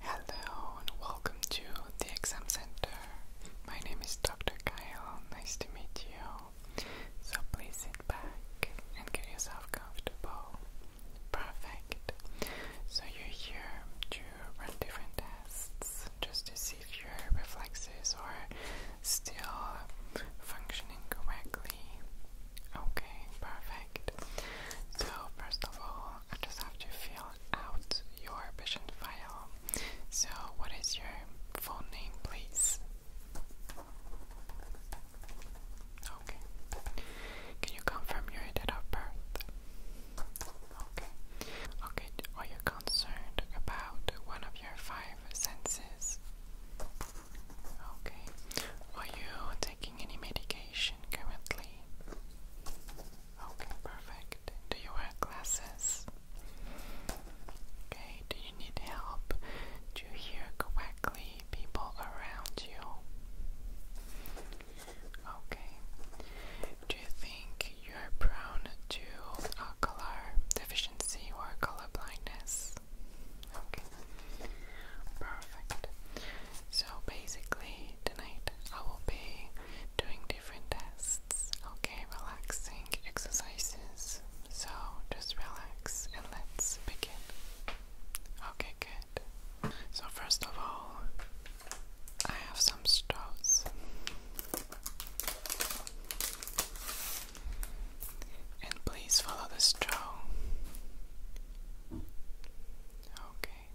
Hello and welcome to the exam center. My name is Dr. Kyle. Nice to meet you. So please sit back and get yourself comfortable. Perfect. So you're here to run different tests just to see if your reflexes are still functioning correctly. Okay, perfect. So first of all, I just have to fill out your patient file. So, what is your full name, please? Okay. Can you confirm your date of birth? Okay. Okay, are you concerned about one of your five senses? Okay. Are you taking any medication currently? Okay, perfect. Do you wear glasses? Okay, do you need help to hear correctly people around you? Okay. Do you think you're prone to color deficiency or color blindness? Okay. Perfect. So basically, tonight I will be doing different tests, okay, relaxing exercises. So just relax and let's begin. Okay, good. So, first of all, I have some straws. And please follow the straw. Okay.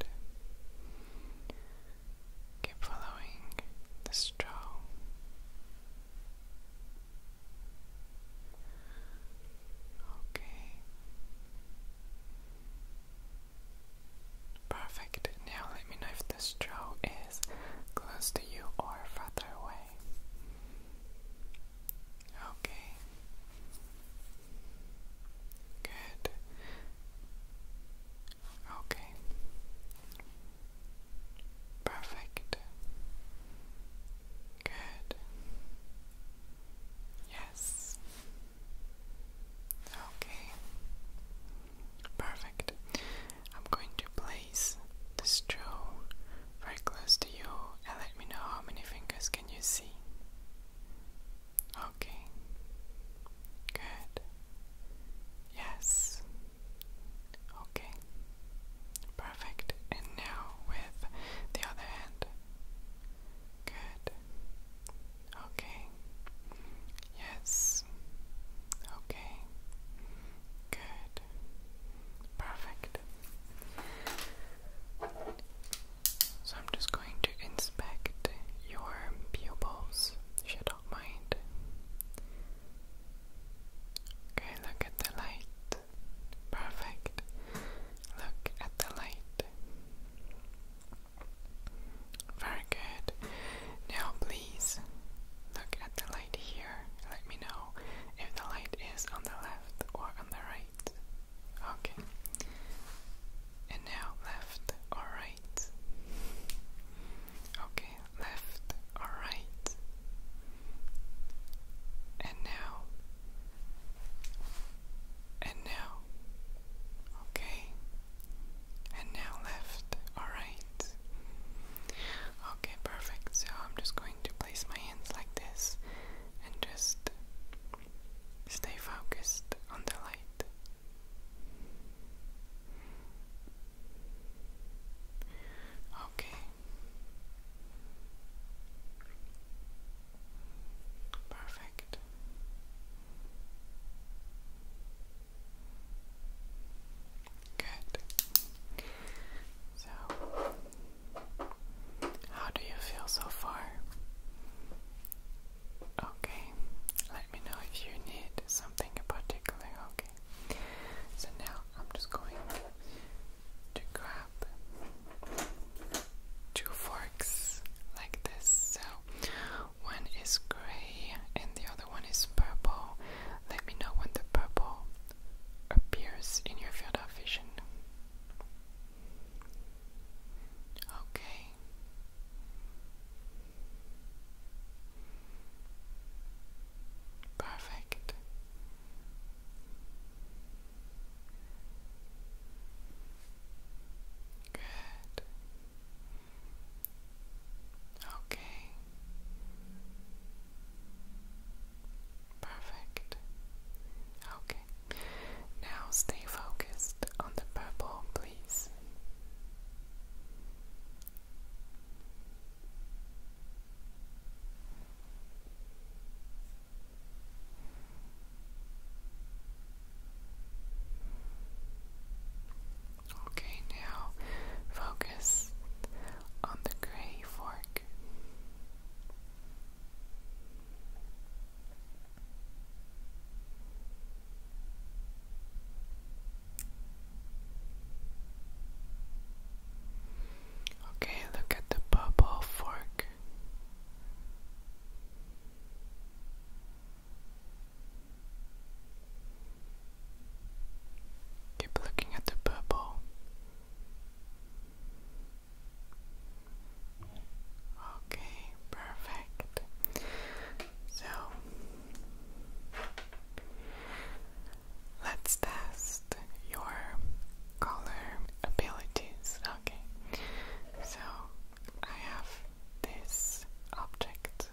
Good. Keep following the straw. Okay. Perfect. Now let me know if the straw is close to you or further away. Okay. Good. Okay. Perfect. Good. Yes. Okay. Perfect. I'm going to place the straw very close to you and let me know how many fingers can you see? Okay. Good. Yes. Okay. Perfect. And now with the other hand. Good. Okay. Yes. Okay. Good. Perfect. So I'm just going to inspect your pupils, if you mind. Okay, look at the light. Perfect. Look at the light. Very good. Now, please look at the light here. Let me know if the light is on the left or the right. Okay. And now left or right. Okay, left or right. And now. And now. Okay. And now left or right. Okay, perfect. So I'm just going to place my hands like this and just stay focused on the light. Okay. Perfect. Good. So how do you feel so far? Okay, let me know if you need something in particular. Okay, so now I'm just going to grab two forks like this. So one is gray and the other one is purple. Let me know when the purple appears in your field of vision. Okay. Perfect. Good. Okay. Perfect. Okay. Now stay focused on the purple, please. Okay, now focus on the gray fork. Okay, look at the bubble fork. Keep looking at the bubble. Okay, perfect. So let's test your color abilities. Okay, so I have this object.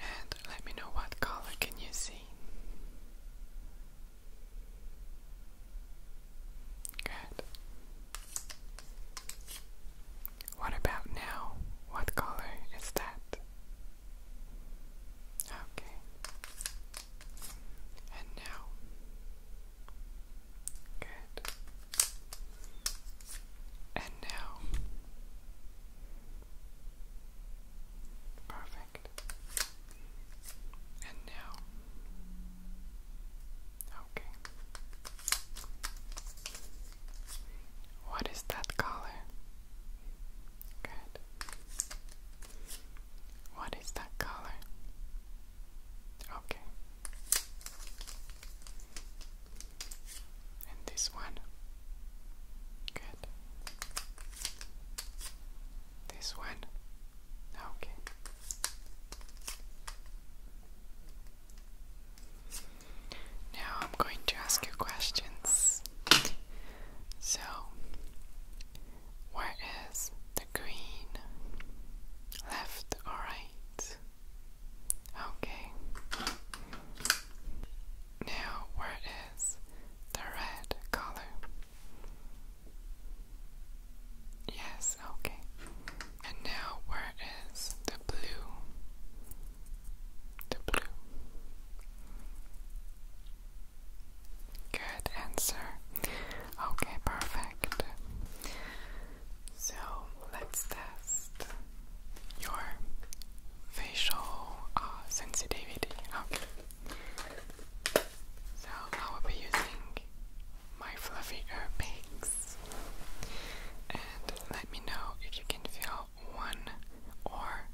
And let me know what color can you see. Good. What about now? What color is that? Okay. And now. Good. And now. Perfect. And now. Okay. What is that color? Good. What is that color? Okay. And this one. Good. This one. Okay. Now I'm going to ask you questions. So, where is the green? Left right? Okay. Now, where is the red color? Yes, okay. And now, where is the blue? The blue. Good answer. Okay, perfect. So let's test your facial uh, sensitivity. Okay. So I will be using my fluffy ear And let me know if you can feel one or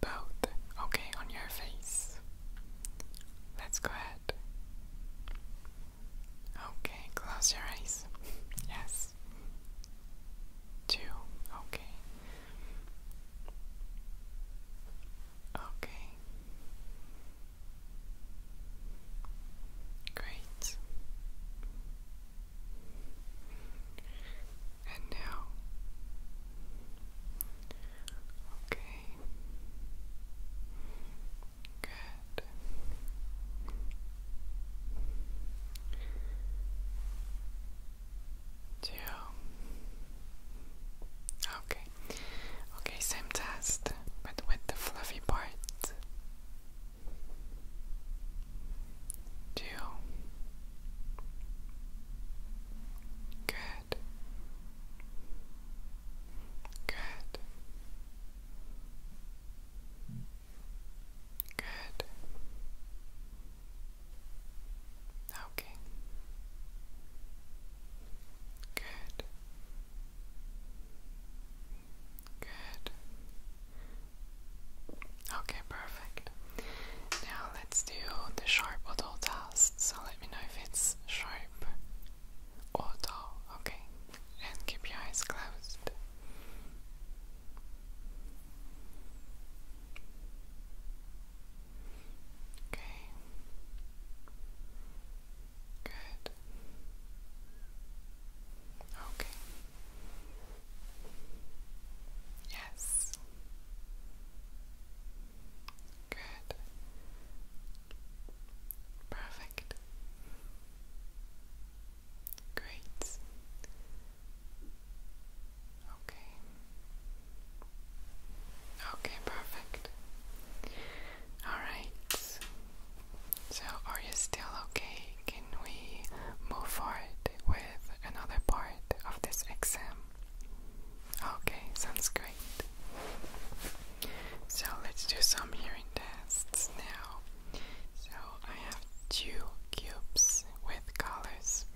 both, okay, on your face. Let's go ahead. Okay, close your eyes. yes this? Two. Okay. Okay. Great. And now. Okay. Good two. Okay, okay, same test, but with the fluffy part. Two. Good. Good. Good. Okay. Good. Good. Okay, perfect. Now let's do the sharp auto test. So let me know if it's sharp auto. Okay. And keep your eyes closed. Okay. Good. Okay. Yes. Good. Perfect. Great. Okay. Okay, perfect. Alright. So, are you still okay? Can we move forward with another part of this exam? Okay, sounds great. So, let's do some hearing tests now. So I have two cubes with colors.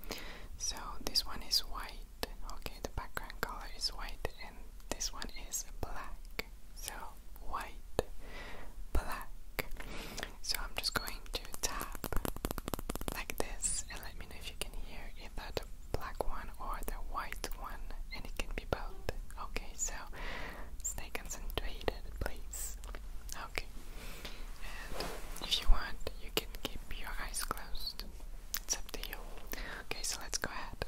So this one is white, okay, the background color is white, and this one is black. So white, black. So I'm just going to tap like this and let me know if you can hear either the black one or the white one, and it can be both. Okay, so stay concentrated, please. Okay. And if you want, you can keep your eyes closed. It's up to you. Okay, so let's go ahead.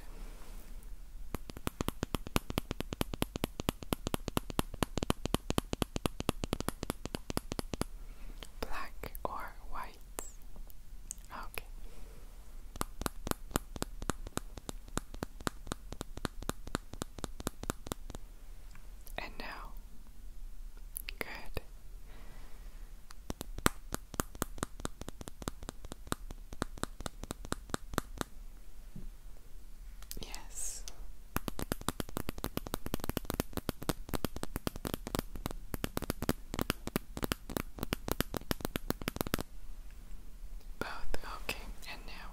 Black or white? Okay. And now. Good. Yes. Both, okay, and now.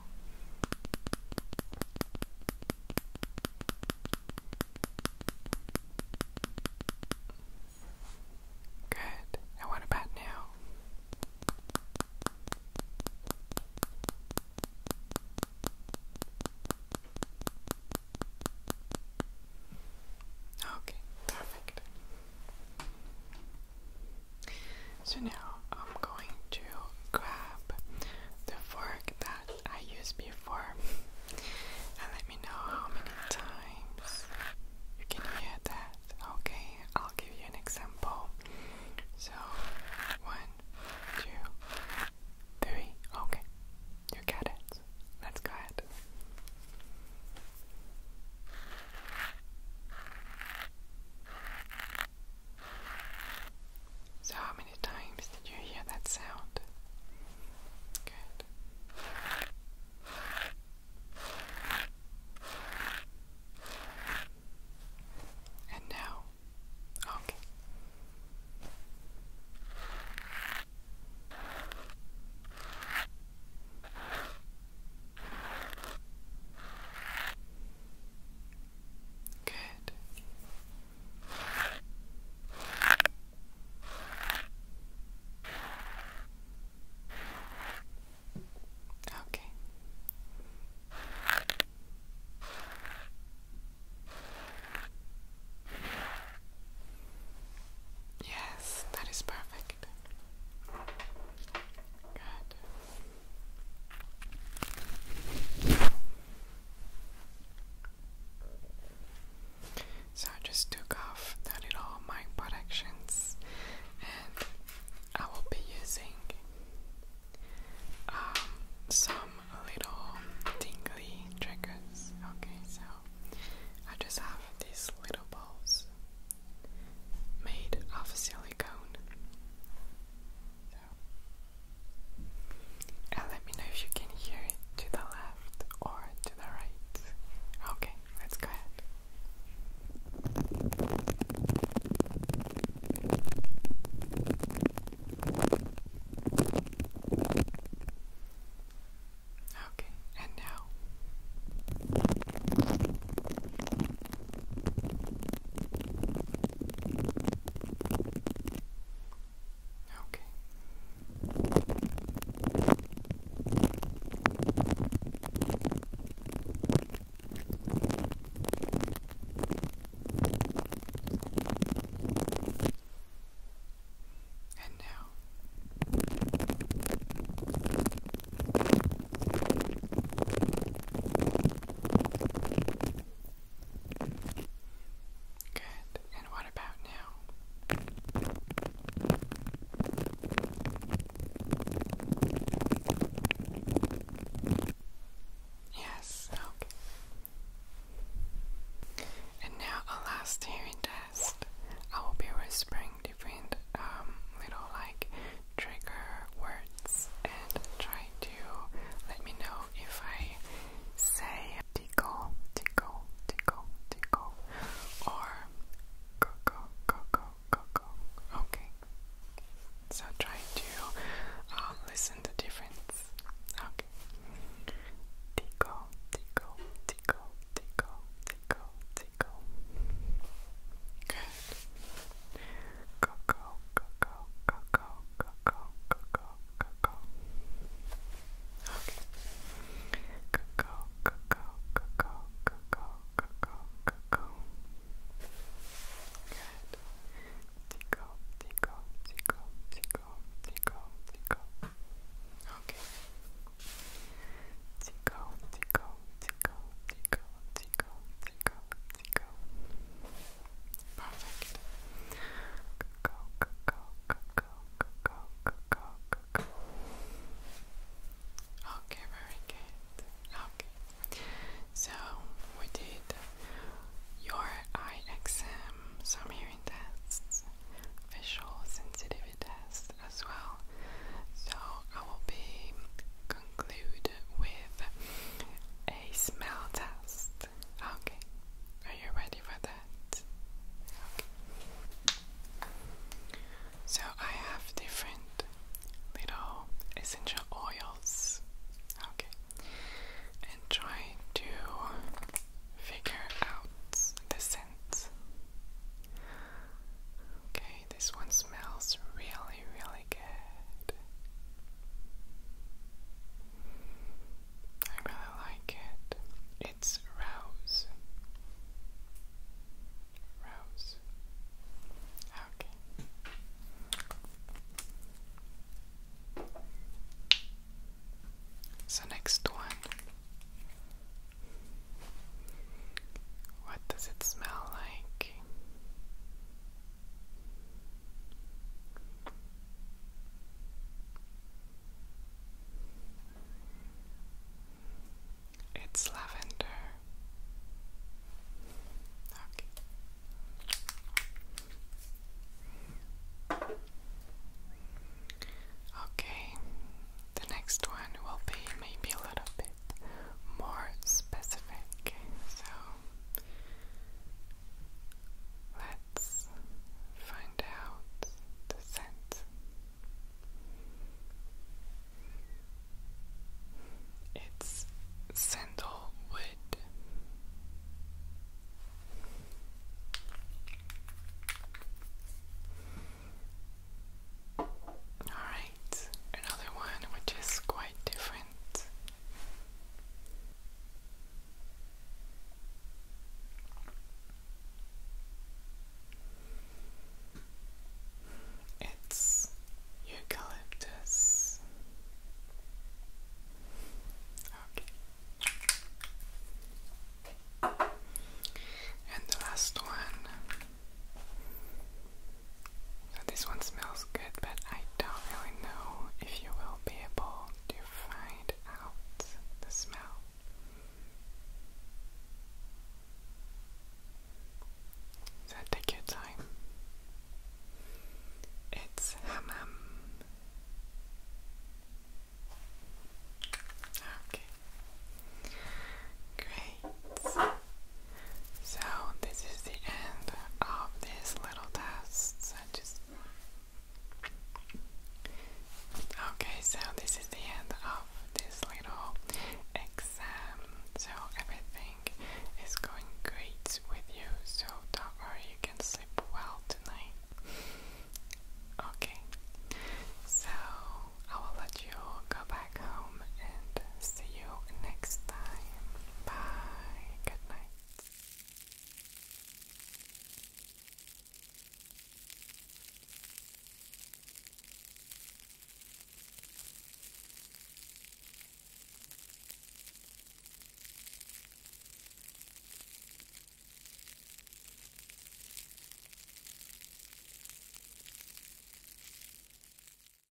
Good. And about now? Okay, perfect. So now, I'm going to grab the fork that I used before and let me know how many times you can hear that. Okay, I'll give you an example. So, one, two, three. Okay, you get it. Let's go ahead. So, how many times did you hear that sound? Good. And now, okay. Good. Okay. Yes, that is perfect. Good. So I just took off the little mic protections and I will be using um, some little tingly triggers. Okay, so I just have these little balls made of silicone. So and let me know if you can hear it to the left or to the right. Okay, let's go ahead. Okay, and now. Okay. And now Good. And what about now? Yes, okay. And now a last hearing test. I will be whispering different um, little like trigger words and try to let me know if I say tickle, tickle, tickle, tickle, or go, go, go, go, go, go. Okay. So try to uh, listen the difference. Okay. Tickle, tickle, tickle, tickle, tickle, tickle. Good. Cocoa, cocoa, cocoa, cocoa, cocoa, cocoa. Okay. Cocoa, cocoa, cocoa, cocoa, cocoa, cocoa. Good. Tico, tico, tico, tico, tico, tico. Okay. Tico, tico, tico, tico, tico, tico, Zico, Zico. Perfect. Go, go, go, go, go, go, go, go, go, go. Okay, very good. Okay. So we did your eye some hearing tests, visual sensitivity tests as well. So I will be conclude with smell test. Okay, are you ready for that? So I have different little essential oils. Okay, and try to figure out the scent. Okay, this one smells really really, good. I really like it. It's Rose. Rose. Okay. So, next one. What does it smell like? It's lavender. Okay. Okay, the next one will be maybe a little bit more specific. So Let's find out the scent. It's sandalwood. All right, another one which is quite different it's eucalyptus. Okay. And the last one so this one smells good, but I don't really know if you will be able to find out the smell. So take your time. It's hammam. Okay. Great. So this is the end of this little test. I just Okay, so this is the end of this little exam. So everything is going great with you, so don't worry, you can sleep well tonight. Okay, so I will let you go back home and see you next time. Bye. Good night.